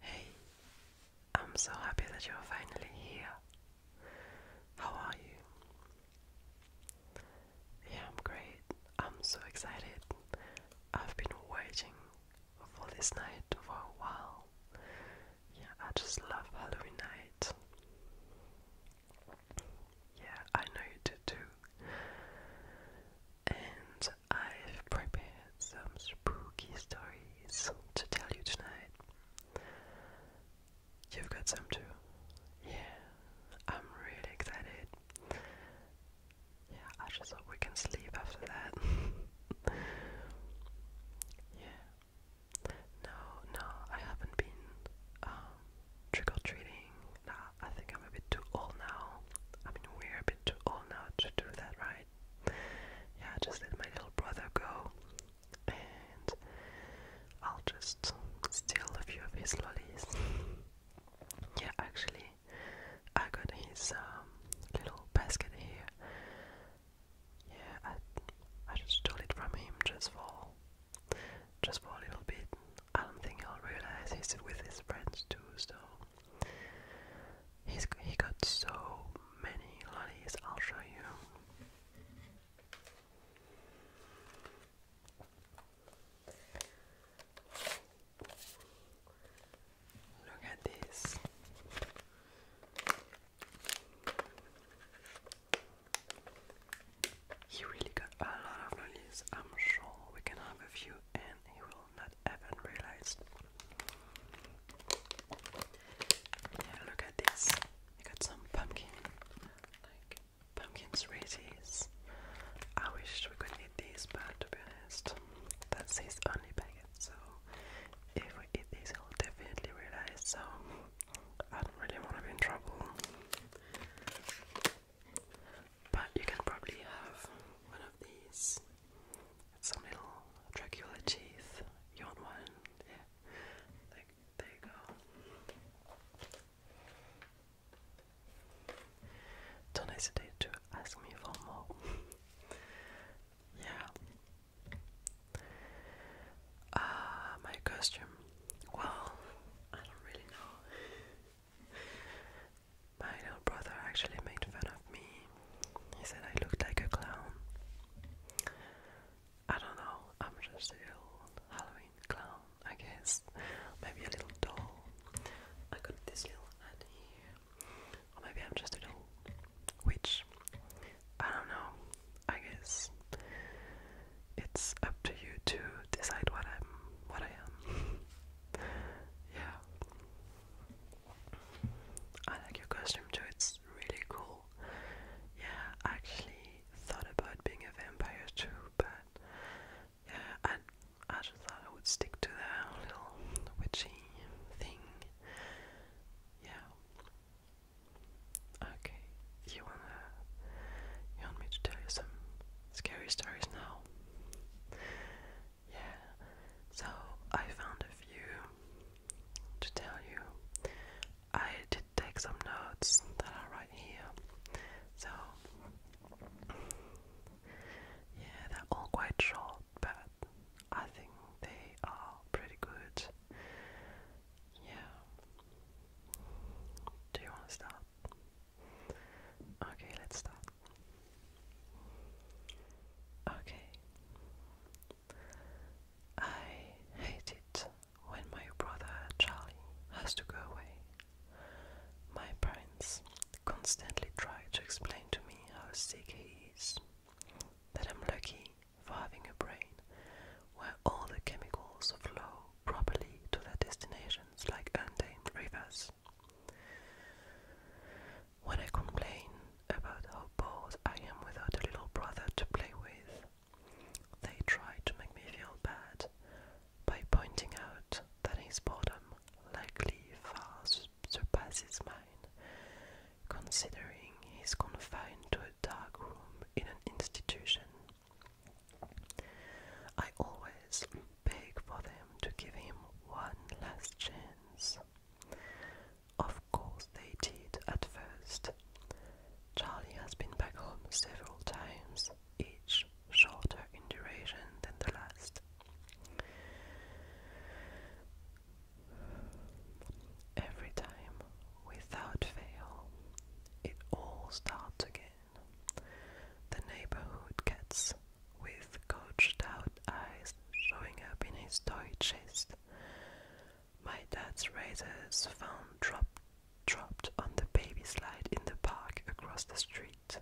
Hey, I'm so happy that you're finally here. How are you? Yeah, I'm great. I'm so excited. I've been waiting for this night for a while. Yeah, I just love Halloween night. Yeah, I know you do too. And I've prepared some spooky stories to tell you tonight. You've got some too. Yeah, I'm really excited. Yeah, I just hope we can sleep after that. yeah. No, no, I haven't been um, trick or treating nah, I think I'm a bit too old now. I mean, we're a bit too old now to do that, right? Yeah, I just let my little brother go, and I'll just steal a few of his lollies. Yeah, actually, I got his um, little basket here. Yeah, I I just stole it from him just for just for a little bit. I don't think he'll realize he's with his friends too, so he's he got so many lollies. I'll show you. Look at this. He really got a lot of lollies. I'm sure we can have a few and he will not even realize. Yeah, look at this. I got some pumpkin. Like pumpkin sweeties. I wish we could eat these, but to be honest, that's his only packet. So if we eat this, he'll definitely realize. So I don't really want to be in trouble. But you can probably have one of these. some little Dracula teeth. You want one? Yeah. there you go. Don't hesitate to ask me for more. yeah. Ah, my costume. Well, I don't really know. My little brother actually made fun of me. He said I looked like a clown. I don't know, I'm just a little Halloween clown, I guess. Maybe a little doll. I got this little hat here. Or maybe I'm just a little witch. I don't know, I guess. It's up to you to decide what I'm what I am. yeah. I like your costume too, it's really cool. Yeah, I actually thought about being a vampire too, but yeah, I, I just thought I would stick to the little witchy thing. Yeah. Okay, you wanna you want me to tell you some scary stories now. Yeah, so I found a few to tell you. I did take some notes that are right here. So, yeah, they're all quite short, but I think they are pretty good. Yeah. Do you want to start? Okay, let's start. Okay. I hate it when my brother Charlie has to go away. My parents constantly try to explain to me how sick he is, that I'm lucky for having a brain where all the chemicals of properly to their destinations like untamed rivers. When I complain about how bored I am without a little brother to play with, they try to make me feel bad by pointing out that his boredom likely far surpasses mine, considering he's confined to a dark room in an institution. I always beg for them to give him one last chance. Of course, they did at first. Charlie has been back home several times, each shorter in duration than the last. Every time, without fail, it all starts again. The neighborhood gets with gouged out eyes showing up in his toy chest. My dad's razors found dropped dropped on the baby slide in the park across the street.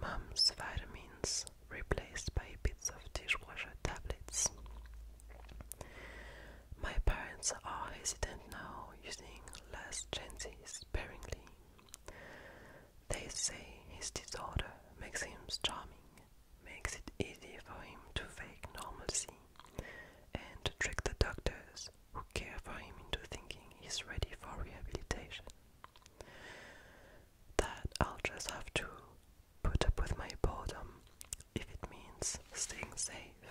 Mum's vitamins replaced by bits of dishwasher tablets. My parents are hesitant now, using less chances sparingly. They say his disorder makes him charming, makes it easy for him to fake normalcy, and trick the doctors who care for him into thinking he's ready for rehabilitation. That I'll just have to put up with my boredom if it means staying safe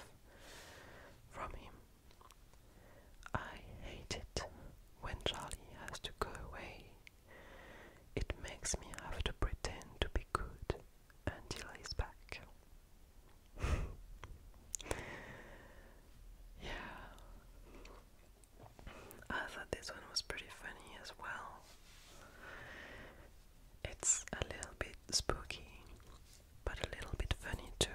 from him. I hate it when Charlie has to go away. It makes me have to pretend to be good until he's back. yeah. I thought this one was pretty funny as well. It's a little bit spooky, but a little bit funny too.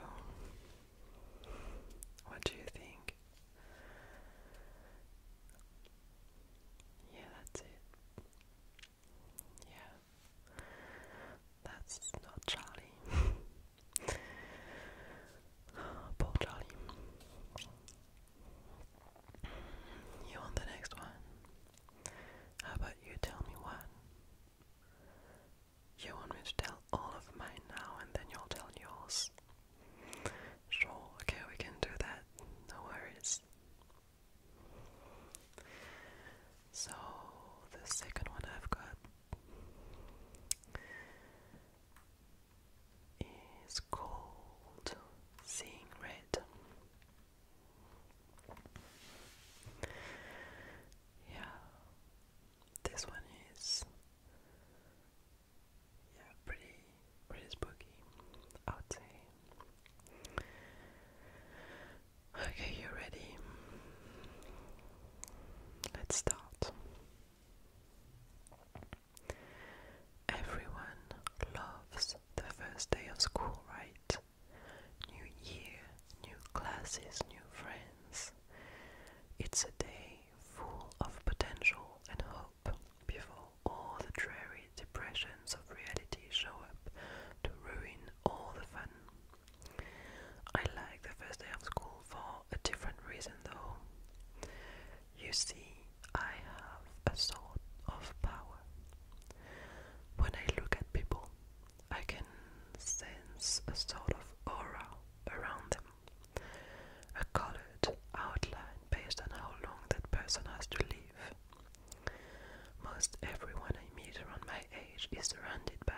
What do you think? Yeah, that's it. Yeah. That's not Charlie. Poor Charlie. You want the next one? How about you tell me one? You want me to tell all of mine now and then you'll tell yours? Sure, okay, we can do that. No worries. So, the second one I've got is called Seeing Red. Yeah, this one is yeah, pretty pretty spooky, I would say. Okay, you ready? Let's start. Everyone loves the first day of school, right? New year, new classes, new friends. It's a day full of potential and hope before all the dreary depressions of reality show up to ruin all the fun. I like the first day of school for a different reason though. You see, I have a sort of power. When I look at people, I can sense a sort of aura around them. A colored outline based on how long that person has to live. Most everyone I meet around my age is surrounded by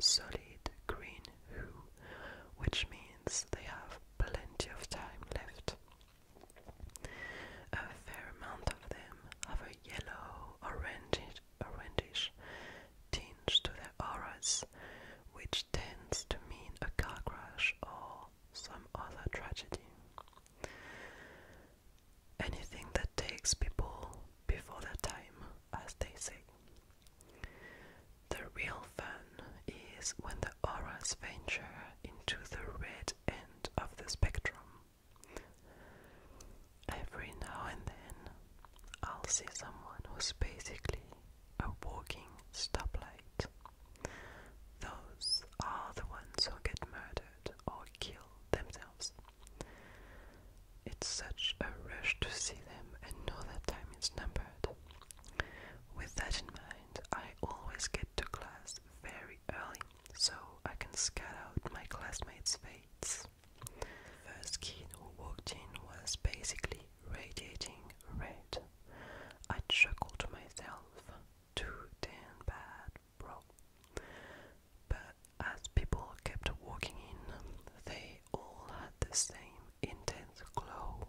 solid green who, which means they have plenty of time left. A fair amount of them have a yellow, orangish, orangish tinge to their auras, which tends to mean a car crash or some other tragedy. Anything that takes people before their time, as they say. The real fun is when the auras venture into the red end of the spectrum. Every now and then, I'll see someone who's basically a walking stoplight. Those are the ones who get murdered or kill themselves. It's such a rush to see them and know that time is numbered. With that in mind, I always get to class very early so I can scout out my classmates' fates. The first kid who walked in was basically radiating red. I chuckled to myself, too damn bad, bro. But as people kept walking in, they all had the same intense glow.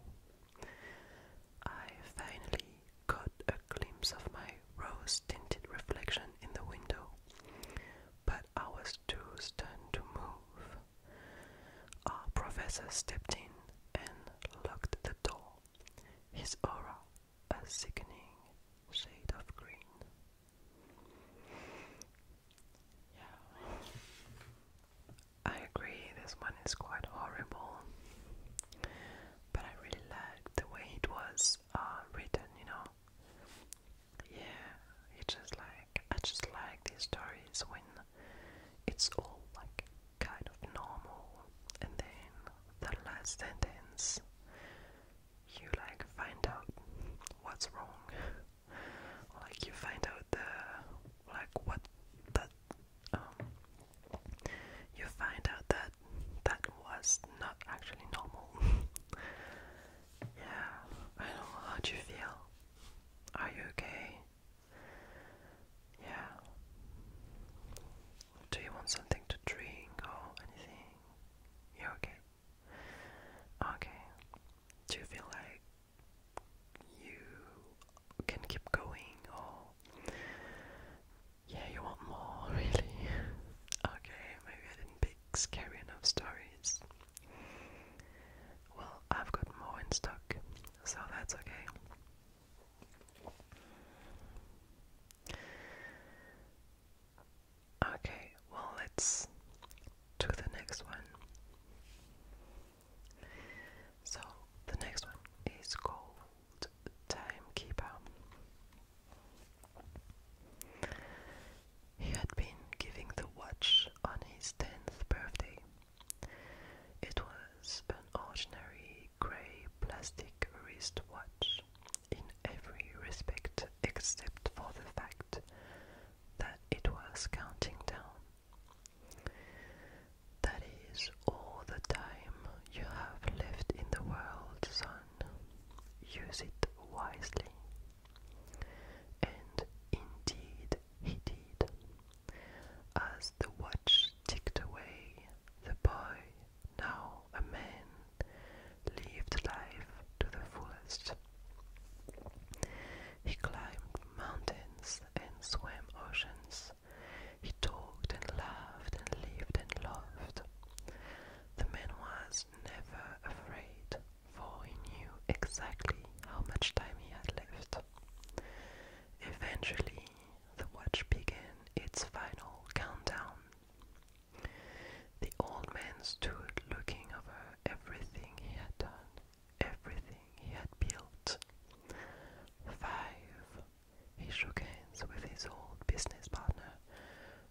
I finally got a glimpse of my rose tinted reflection in the window, but I was too stunned to move. Our professor stepped in and locked the door, his aura a sickening shade of green. Yeah. I agree, this one is quite horrible, but I really liked the way it was uh, written, you know. Yeah, it's just like I just like these stories when it's all like kind of normal, and then the last sentence you like find out what's wrong, like you find out the like what that um, you find out that that was not actually normal. yeah, I know how do you feel. Are you okay? Yeah. Do you want something to drink or anything? you okay. Okay. Do you feel like you can keep going or yeah, you want more really? okay, maybe I didn't pick scary enough stories. Well, I've got more in stock, so that's okay. Okay, well, let's do the next one. So, the next one is called Timekeeper. He had been giving the watch on his tenth birthday, it was an ordinary grey plastic wristwatch in every respect except for the fact that it was counting down. That is all the time you have left in the world, son. Use it wisely. And indeed he did. As the watch ticked away, the boy, now a man, lived life to the fullest. He climbed mountains and swam oceans. He talked and laughed and lived and loved. The man was never afraid for he knew exactly how much time he had left. Eventually, the watch began its final countdown. The old man stood looking over everything he had done, everything he had built. Five. He shook hands with his old business partner,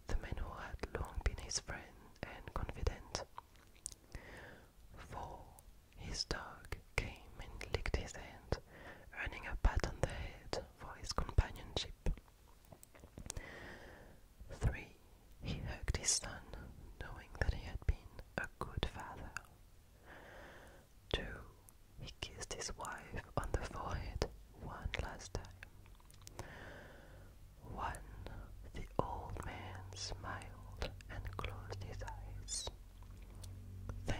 the man who had long been his friend and confidant. For his dog came and licked his hand, earning a pat on the head for his companionship. Three, he hugged his son, knowing that he had been a good father. Two, he kissed his wife on the forehead one last time. One, the old man smiled and closed his eyes. Then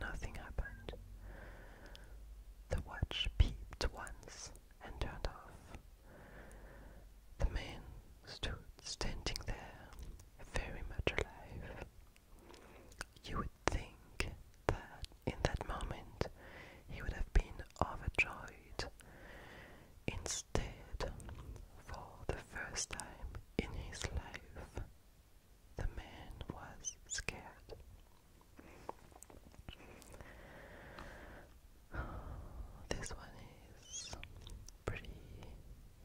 nothing happened. The watch peeped once and turned off. The man stood standing there, very much alive. You would think that in that moment he would have been overjoyed. Instead, for the first time in his life, the man was scared. This one is pretty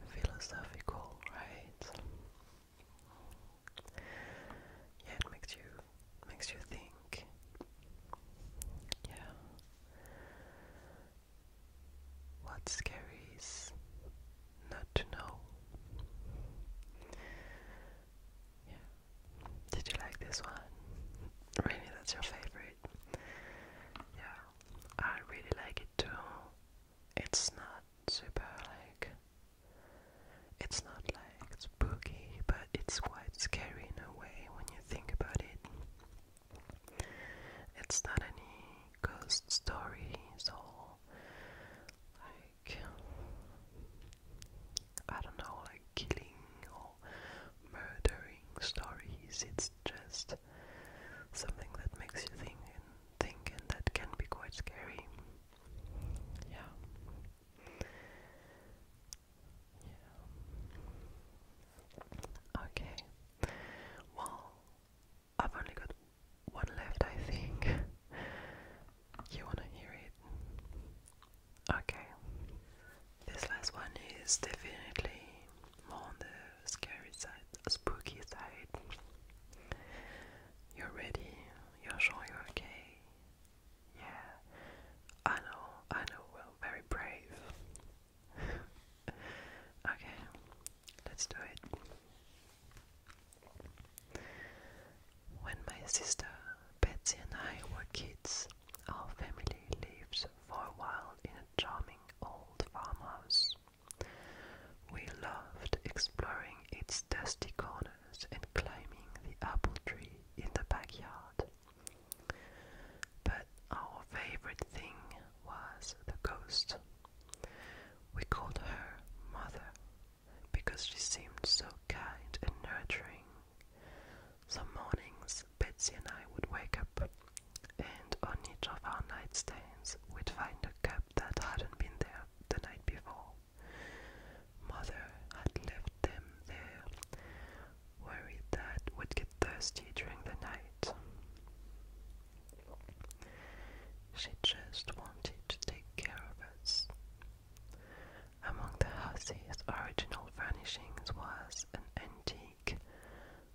philosophical, right? Yeah, it makes you makes you think. Yeah. What's scary is not to know. Yeah. Did you like this one? Really, that's your favorite? Yeah, I really like it too. It's not super like. It's not like spooky, but it's quite scary in a way when you think about it. It's not any ghost story, so like I don't know, like killing or murdering stories. It's just something that makes you think and think, and that can be quite scary. Yeah. Okay. Well, I've only got one left, I think. You wanna hear it? Okay. This last one is definitely more on the scary side, spooky side. You're ready, you're sure you're okay. Yeah, I know, I know, very brave okay, let's do it. When my sister Betsy and I were kids, our family lived for a while in a charming old farmhouse. We loved exploring its dusty corners and climbing the apple tree in the backyard. But our favorite thing was the ghost. We called her Mother because she seemed so kind and nurturing. Some mornings, Betsy and I would wake up, and on each of our nightstands, we'd find a cup that hadn't been there the night before. Mother had left them there, worried that we'd get thirsty during the night. She just wanted to take care of us. Among the house's original furnishings was an antique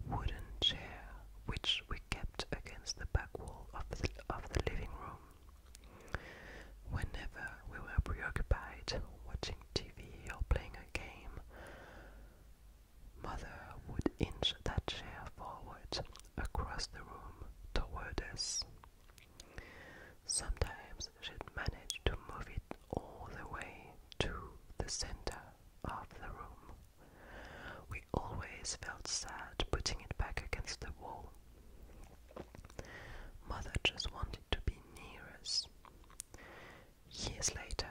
wooden chair which we kept against the back wall of the, living room. Whenever we were preoccupied watching TV or playing a game, Mother would inch that chair forward across the room toward us. Sometimes she'd manage to move it all the way to the center of the room. We always felt sad putting it back against the wall. Mother just wanted to be near us. Years later,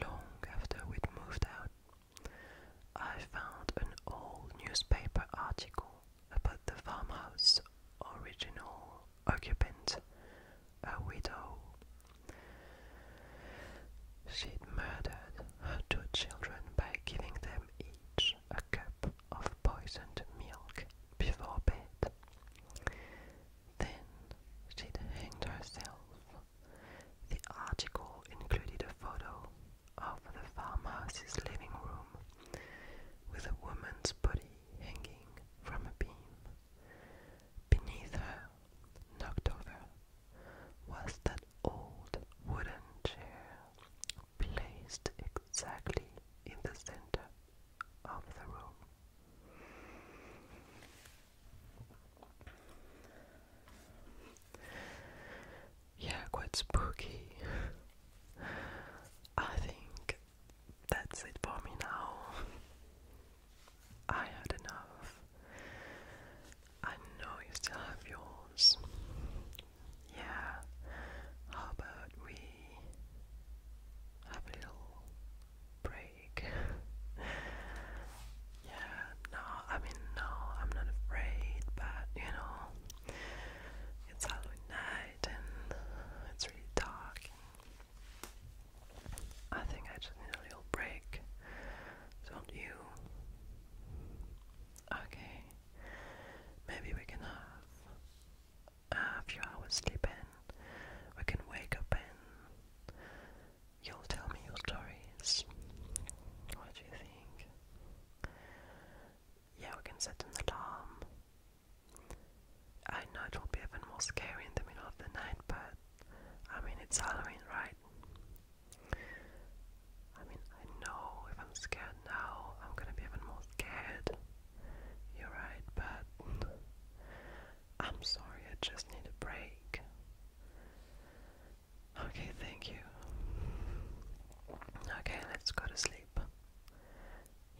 long after we'd moved out, I found an old newspaper article about the farmhouse's original occupant, a widow. She'd murdered her two children by giving them each a cup of poisoned milk before bed. Then she'd hanged herself the article included a photo of the farmhouse's living room with a woman's body hanging from a beam. Beneath her, knocked over, was that old wooden chair placed exactly in the center of the room. Yeah, quite spooky. I think that's it for me now. I had enough. I know you still have yours. Yeah, how about we have a little break? yeah, no, I mean, no, I'm not afraid, but you know, it's Halloween night and it's really dark. I think I just need a little break, don't you? Okay, maybe we can have a few hours sleep We can wake up in You'll tell me your stories. What do you think? Yeah, we can set an alarm. I know it will be even more scary in the middle of the night, but I mean, it's Halloween, right? I mean, I know if I'm scared now, I'm gonna be even more scared. You're right, but I'm sorry, I just need a break. Okay, thank you. Okay, let's go to sleep.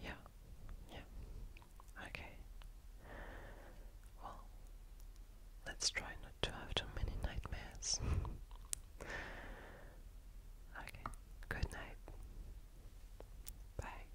Yeah, yeah. Okay. Well, let's try not to have too many nightmares. okay, good night. Bye.